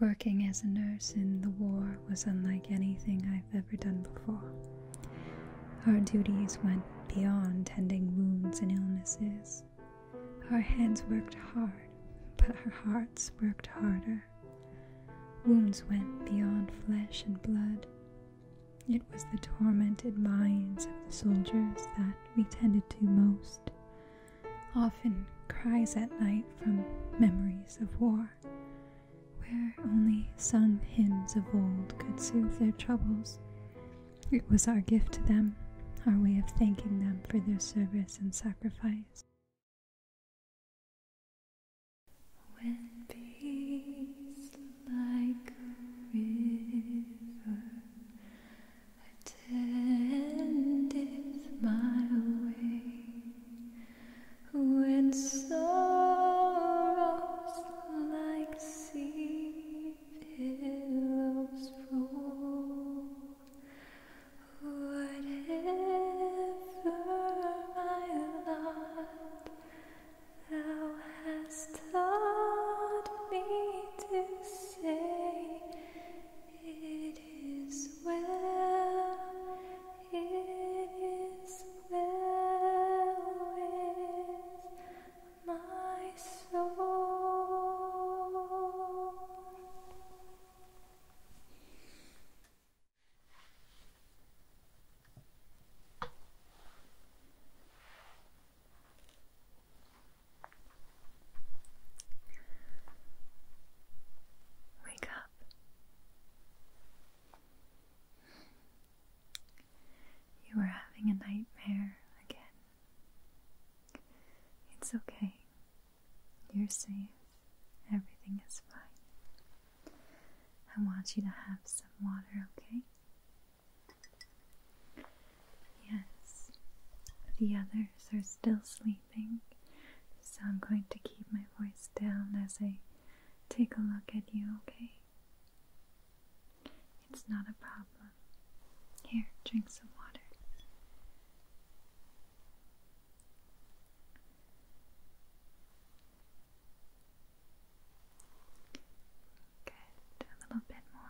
Working as a nurse in the war was unlike anything I've ever done before. Our duties went beyond tending wounds and illnesses. Our hands worked hard, but our hearts worked harder. Wounds went beyond flesh and blood. It was the tormented minds of the soldiers that we tended to most often cries at night from memories of war, where only sung hymns of old could soothe their troubles. It was our gift to them, our way of thanking them for their service and sacrifice. When peace like a river attendeth my way, when sorrows like sea pillows roll, whatever my lot, thou hast taught me to say. It is well, it is well with my soul. Wake up. You are having a nightmare again. It's okay. You're safe. Everything is fine. I want you to have some water, okay? Yes, the others are still sleeping. So I'm going to keep my voice down as I take a look at you, okay? It's not a problem. Here, drink some water. Good, a little bit more.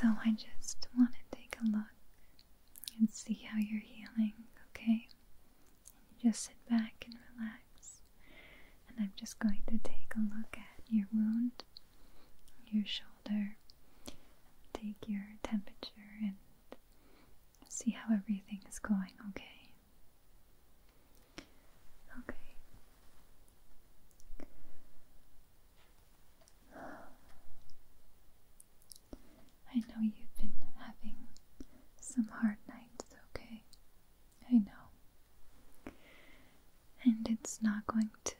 So, I just want to take a look and see how you're healing, okay? you just sit back and relax. And I'm just going to take a look at your wound, your shoulder, take your temperature, and see how everything is going, okay? Okay. I know you've been having some hard nights, okay? I know. And it's not going to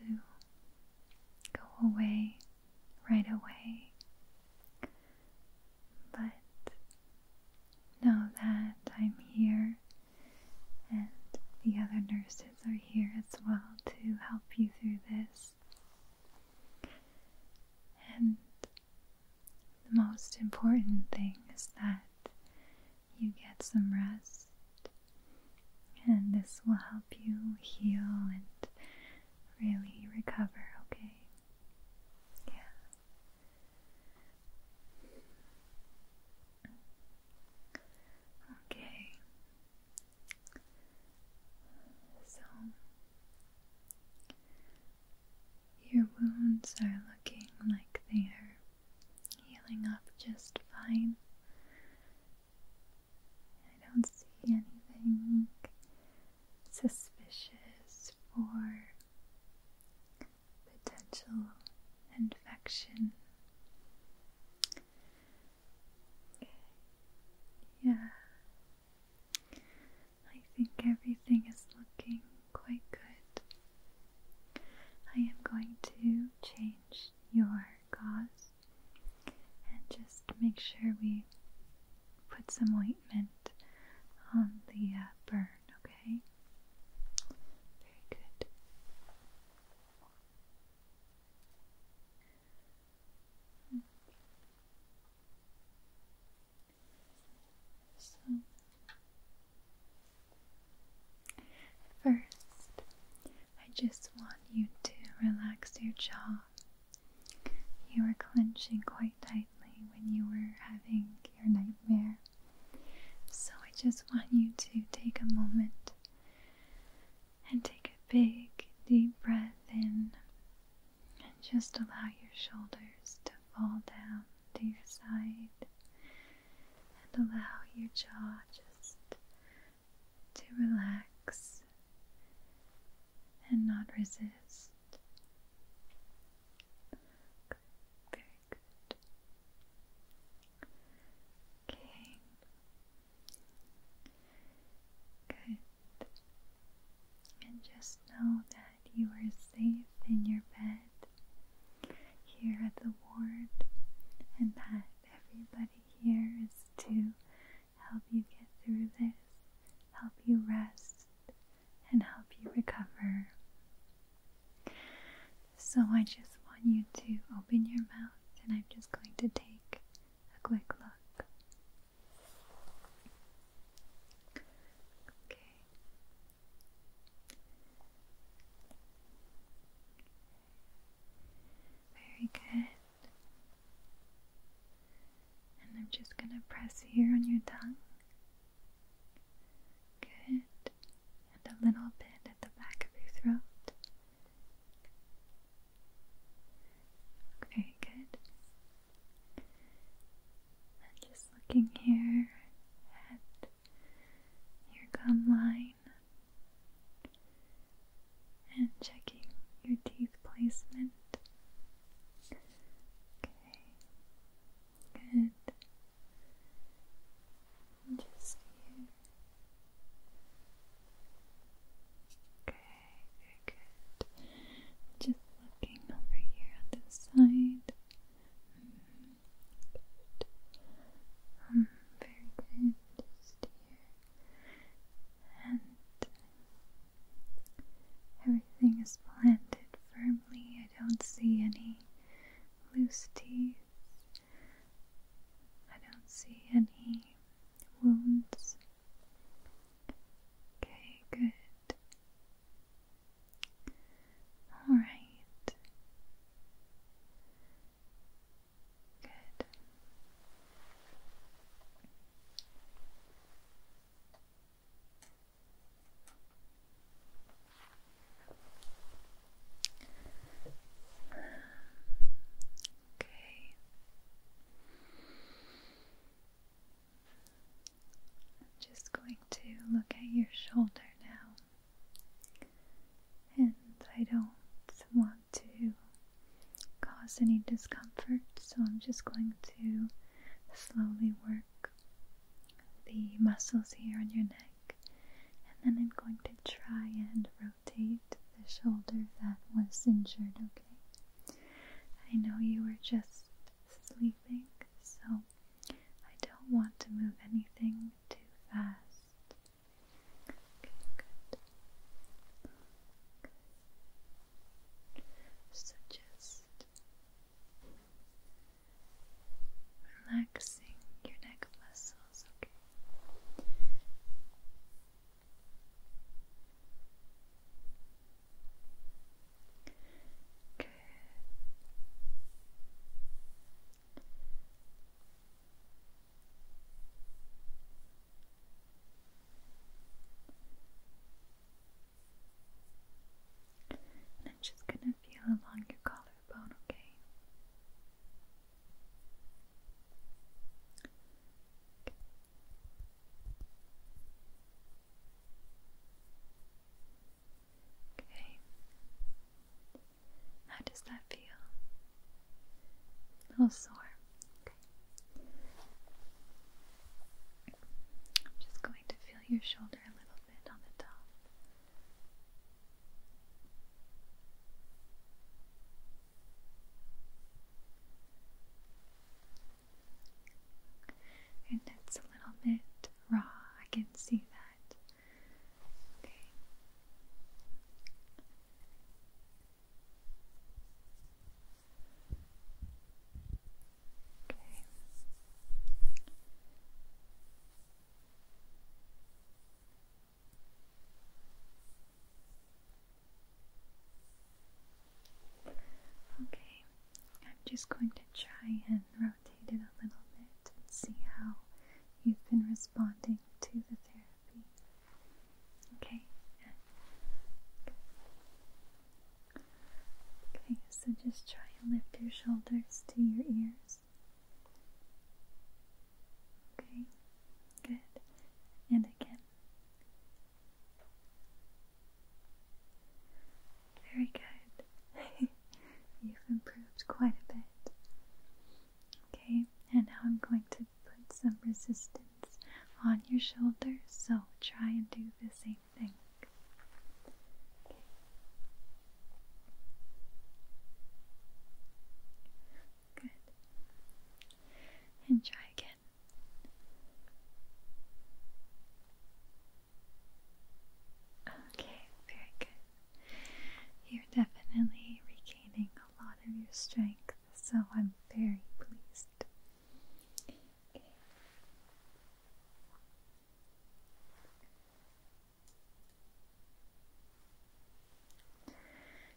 go away right away. But know that I'm here and the other nurses are here as well to help you through this. And the most important thing is that you get some rest, and this will help you heal and really recover, okay? Yeah. Okay. So your wounds are looking like they are healing up just fine. I don't see anything suspicious for potential infection. Yeah. I think everything is looking quite good. I am going to change your gauze and just make sure we put some ointment on the uh, burn, okay? Very good. So, first, I just want you to relax your jaw. You were clenching quite tightly when you were having your nightmare. So, I just want you to take a moment and take a big, deep breath in and just allow your shoulders to fall down to your side and allow your jaw just to relax and not resist. very good. Okay. Good. And just know that that you are safe in your bed here at the ward and that everybody here is to help you get through this, help you rest, and help you recover. So I just want you to open your mouth and I'm just going to take a quick look. Okay. Very good. And I'm just going to press here on your tongue. Good. And a little bit at the back of your throat. Very good just looking here at your gum line and checking your teeth placement. Okay, good. just here. Okay, very good. Just looking over here at this side. Mm-hmm. Good. Um, very good. here. And everything is planted firmly. I don't see any loose teeth. I don't see any wounds. Okay, good. All right. Good. Um, okay. I'm just going to look at your shoulder now. And I don't want to cause any discomfort, so I'm just going to slowly work the muscles here on your neck. And then I'm going to try and rotate the shoulder that was injured, okay? I know you were just sleeping, so I don't want to move anything too fast. Okay, good. So just relaxing your neck muscles, okay? And I'm just gonna feel along your collarbone, okay? Okay. How does that feel? A little sore. Okay. I'm just going to feel your shoulder a little bit on the top. And that's a little bit raw, I can see that. Okay. Okay. Okay, I'm just going to try and a little bit and see how you've been responding to the therapy. Okay? Okay, so just try and lift your shoulders to your ears. Okay, good. And again. Very good. You've improved quite a bit. Okay, and now I'm going to put some resistance on your shoulders. so try and do the same thing. Okay. Good. And try again. Okay, very good. You're definitely regaining a lot of your strength, so I'm very pleased.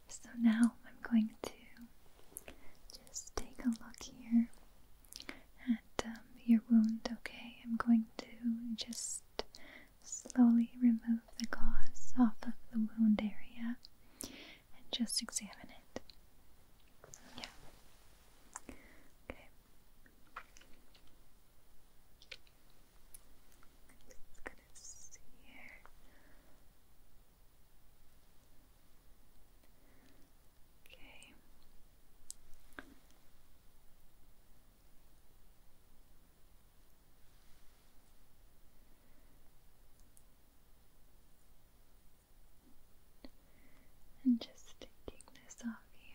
So now I'm going to just take a look here at um, your wound, okay? I'm going to just Slowly remove the gauze off of the wound area and just examine it. Yeah. Okay. Just gonna here. Okay. And just taking this off here.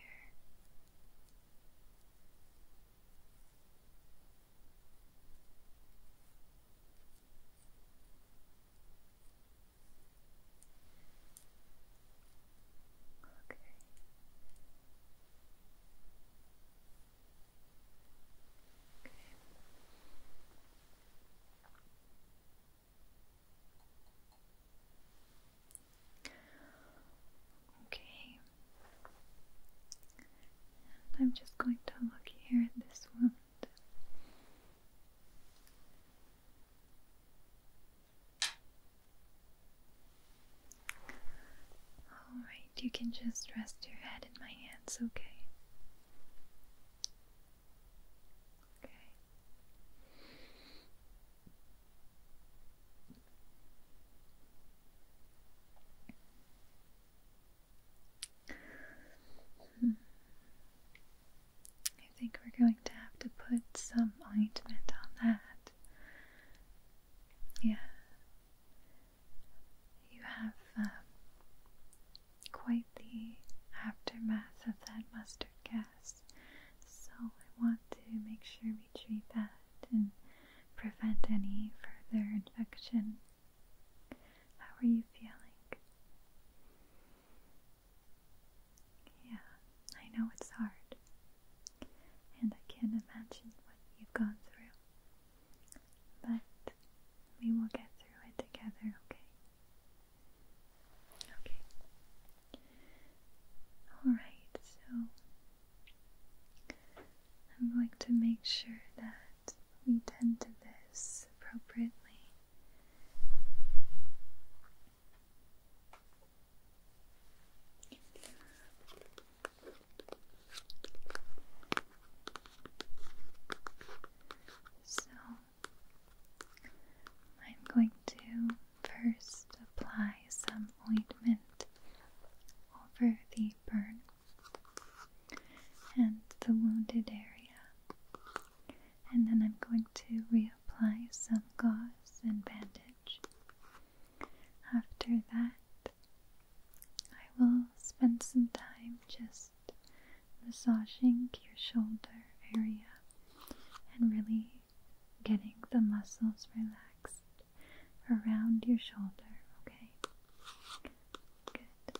Okay. Okay. Okay. I'm just going to look here at this wound. Alright, you can just rest your head in my hands, okay? Okay. Hmm. I think we're going to have to put some ointment on that. Yeah. You have um, quite the aftermath of that mustard gas, so I want to make sure we treat that and prevent any further infection. How are you feeling? Yeah, I know it's hard and I can't imagine what you've gone through. But we will get through it together, okay? Okay. Alright, so I'm going to make sure that we tend to this appropriately. So I'm going to first apply some ointment over the burn and the wounded area, and then I'm going to reapply some gauze and bandage. After that, I will spend some time just massaging your shoulder area and really getting the muscles relaxed around your shoulder, okay? Good.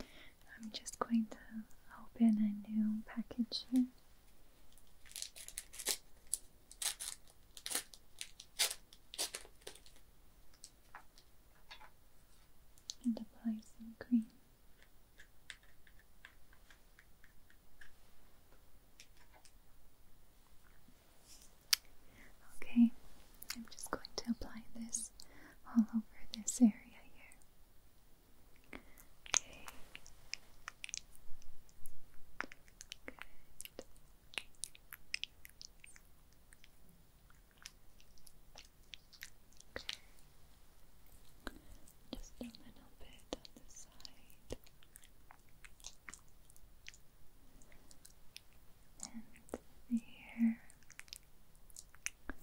I'm just going to open a new package here. And apply some cream. Okay, I'm just going to apply this all over this area here. Okay. Good. Just a little bit on the side. And the Good.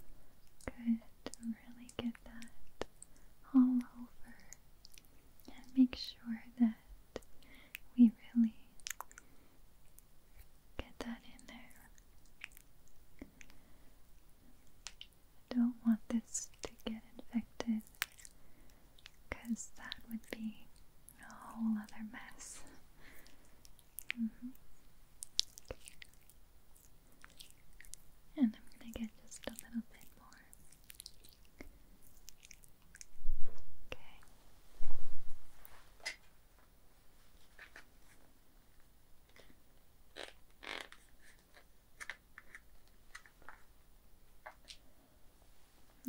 Really get that all over and make sure that we really get that in there. I don't want this to get infected because that would be a whole other mess. Mm-hmm. And I'm going to get just a little bit more. Okay.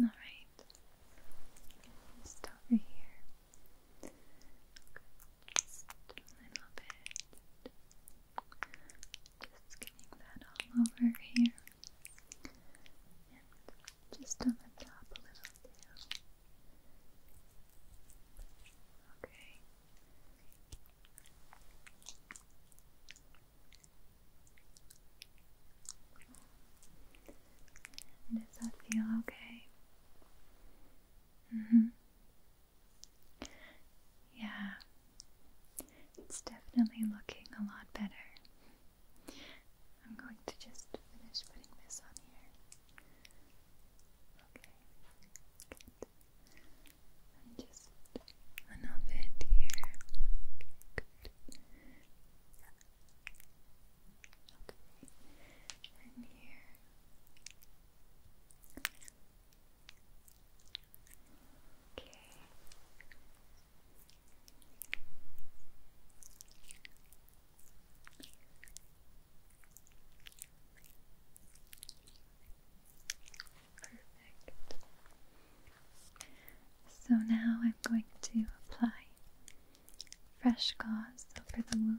All right. Just over here. Just a little bit. Just getting that all over here. And just on the top a little too. Okay. Does that feel okay? Mm-hmm. Yeah, it's definitely looking a lot better. I'm going to just finish putting this on here. Okay, good. And just a little bit here. good. Okay, and here. Okay. Perfect. So now I'm going to apply fresh gauze over the wound.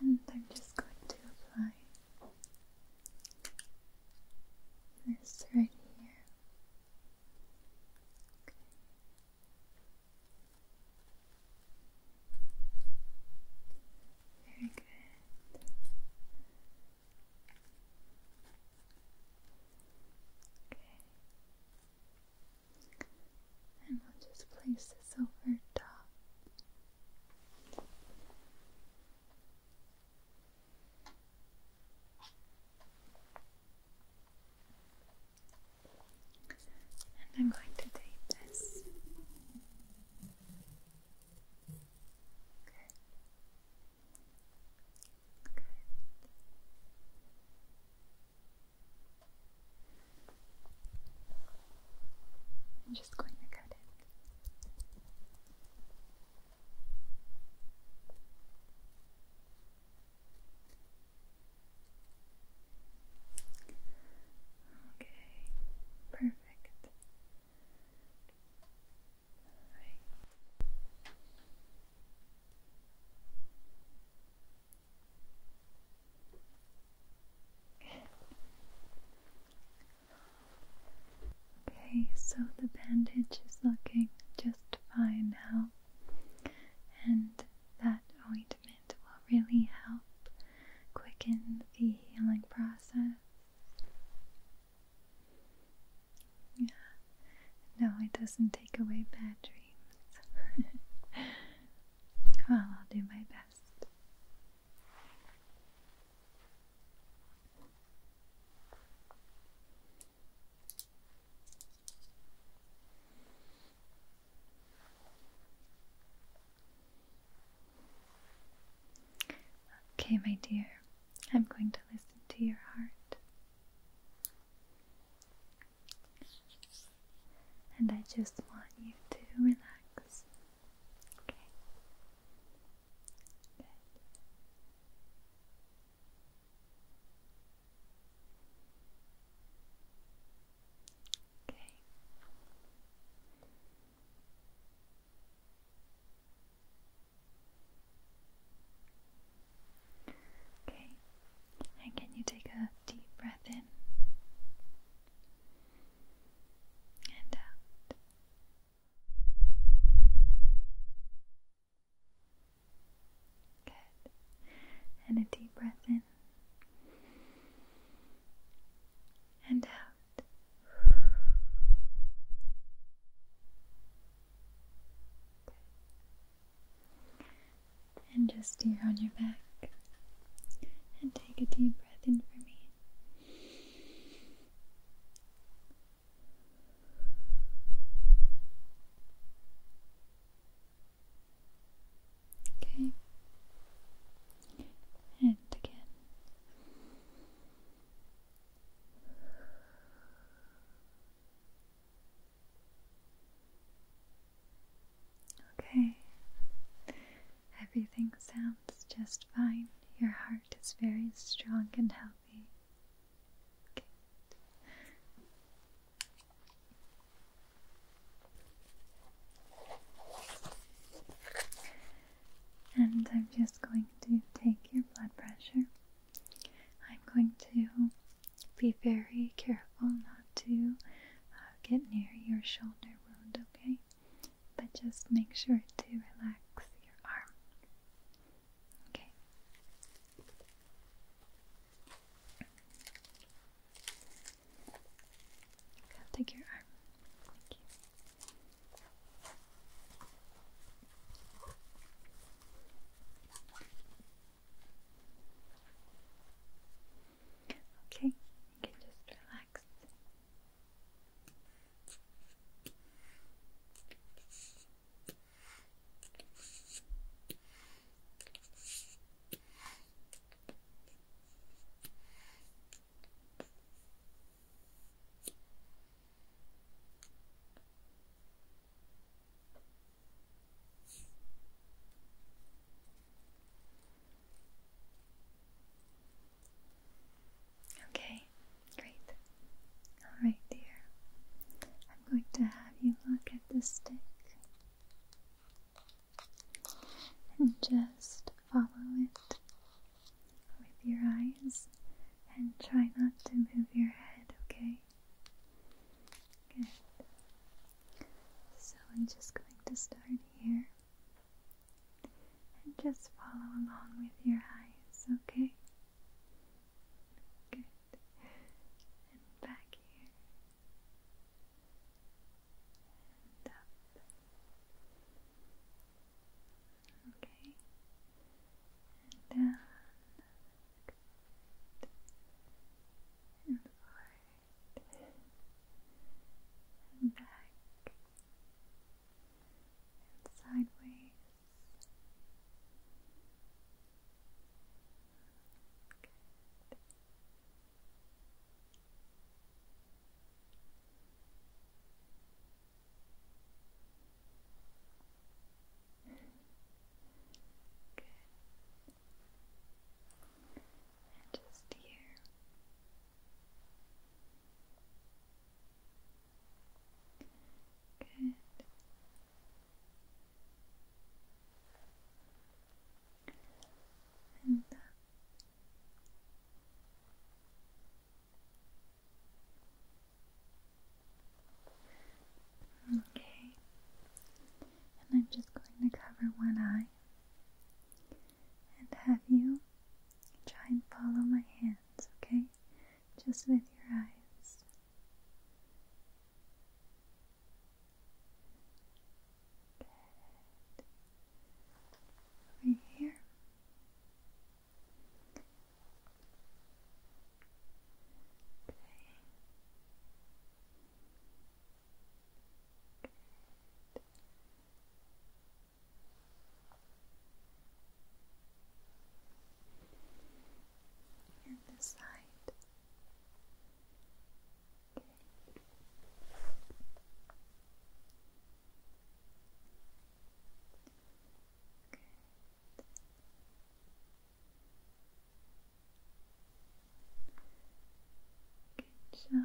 and I'm just going to apply this right here. Very good. Okay. And we'll just place this over top. And I'm going to tape this. Good. I'm just going to cut it. Okay, perfect. Right. Okay, so the bandage is looking just fine now, and that ointment will really help quicken the healing process. Yeah, no, it doesn't take away bad dreams. Well, I'll do my best. Okay, my dear, I'm going to listen to your heart. And I just want you to relax. Okay. Good. Okay. Okay. And can you take a deep breath in? and out. Good. And a deep breath in and out. Good. And just here on your back. And take a deep breath in for me. Okay. And again. Okay. Everything sounds just fine. Your heart is very strong and healthy. And I'm just going to take your blood pressure. I'm going to be very careful not to uh, get near your shoulder wound, okay? but just make sure to relax your arm. Okay. take your arm. Okay, you can just relax. Okay, great. Alright, dear. I'm going to have you look at the stick and just follow it with your eyes and try not to move your head, okay? Good. So I'm just going to start here. And just follow along with your eyes, okay? Good. And back here. And up. Okay. And down. And forward and back sideways. Good. Good. just here Good. And Okay. And I'm just going to cover one eye and have you try and follow my hands, okay? Just with your eyes. Good. Over here. Okay. And this side. Okay. Good. Good job.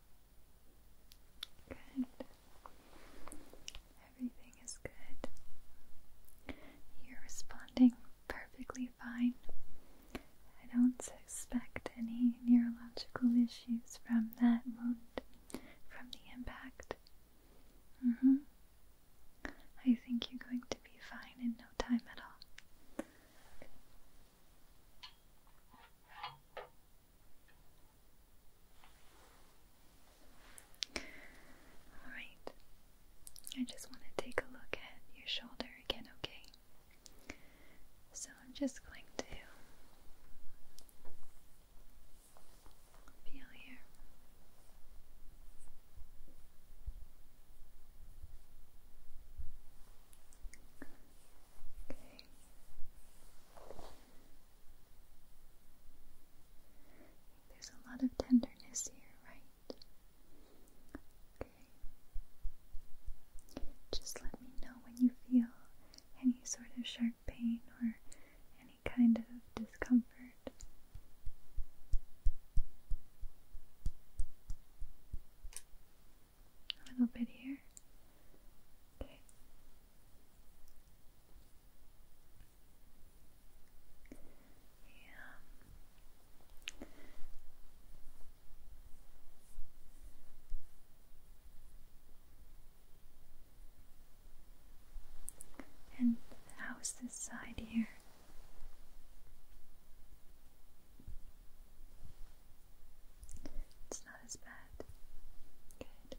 Good. Everything is good. You're responding perfectly fine. I don't suspect any neurological issues from that wound, from the impact. Mm-hmm. I think you're going to be fine in no time at all. Alright, I just want to take a look at your shoulder again, okay? So I'm just going to feel here. Okay. There's a lot of tenderness here, right? Okay. Just let me know when you feel any sort of sharp pain or any kind of discomfort. A little bit here. Okay. Yeah. And how's this side here? It's not as bad. Good.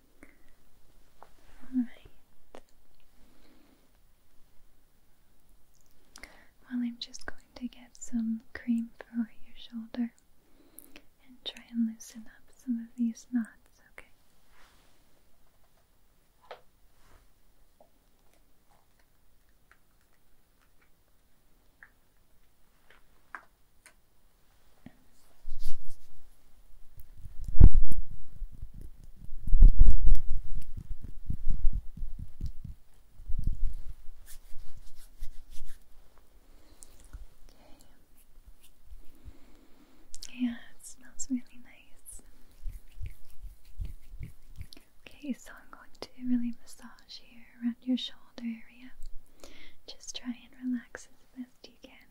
Well, I'm just going to get some cream for your shoulder and try and loosen up some of these knots, Okay. Okay. Yeah, it smells really nice. Okay, so I'm going to really massage here around your shoulder area. Just try and relax as best you can. Okay. Good.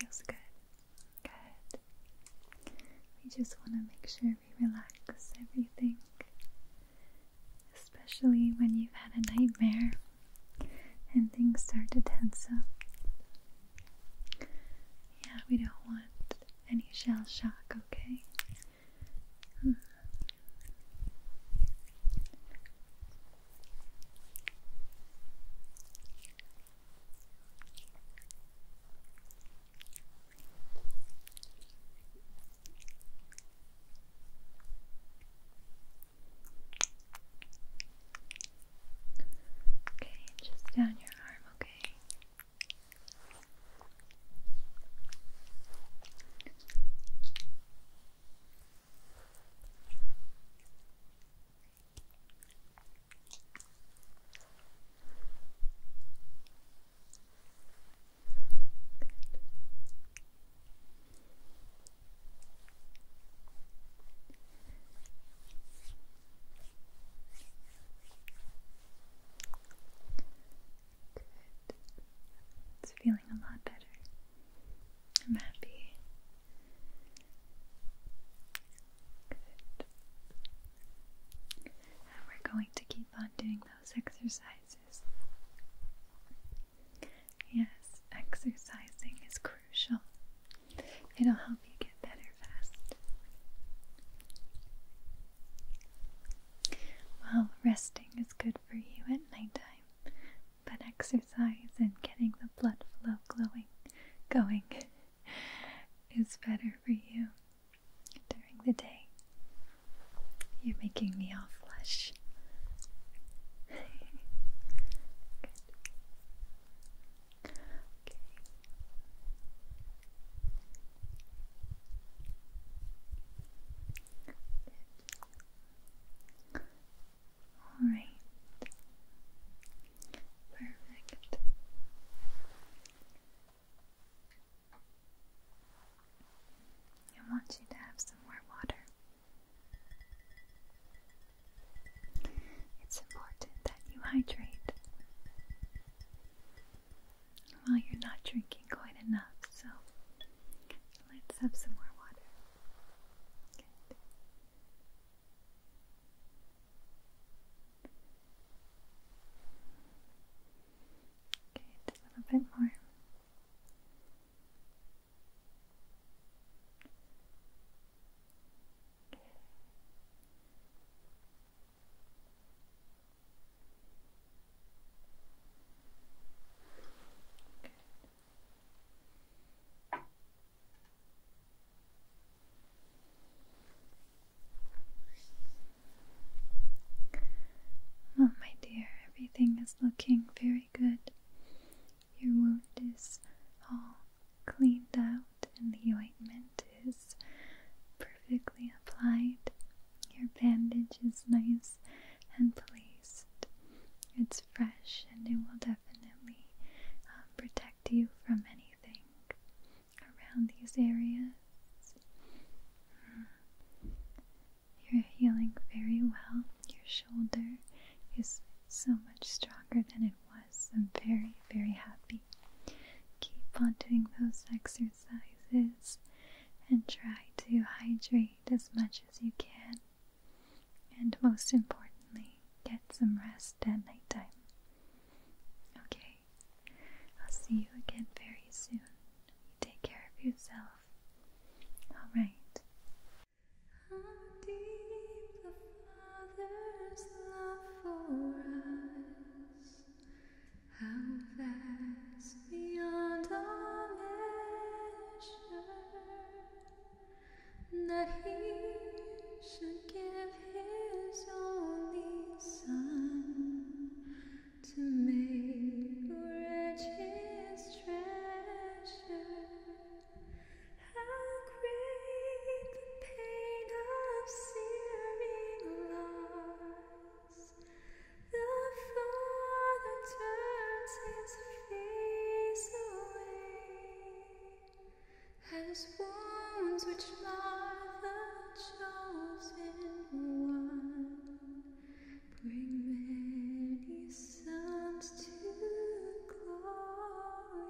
Feels good. Good. We just want to make sure we relax everything, especially when you've had a nightmare and things start to tense up. Yeah, we don't want any shell shock, okay? Okay, just down your arm, okay? Okay. It's feeling a lot better. I'm happy. And we're going to keep on doing those exercises. Yes, exercising is crucial. It'll help you get better fast. Well, resting is good for you at nighttime, but exercise and getting the blood flow glowing, going is better for you during the day. You're making me all flush. All right. Perfect. I want you to have some more water. It's important that you hydrate. Well, you're not drinking quite enough, so let's have some more water. Good. Okay, just a little bit more. Well, oh, my dear, everything is looking very good. Your wound is all cleaned out, and the ointment is perfectly applied. Your bandage is nice and placed. It's fresh, and it will definitely um, protect you from anything around these areas. Mm. You're healing very well. Your shoulder is so much stronger than it was. I'm very, very happy. Keep on doing those exercises and try to hydrate as much as you can. And most importantly, get some rest at nighttime. Okay, I'll see you again very soon. take care of yourself. All right. How deep the Father's love for us, how vast beyond all measure, that He should give his only son to make wretches treasure. How great the pain of searing loss! The father turns his face away, and wounds which mar chosen one, bring many sons to glory.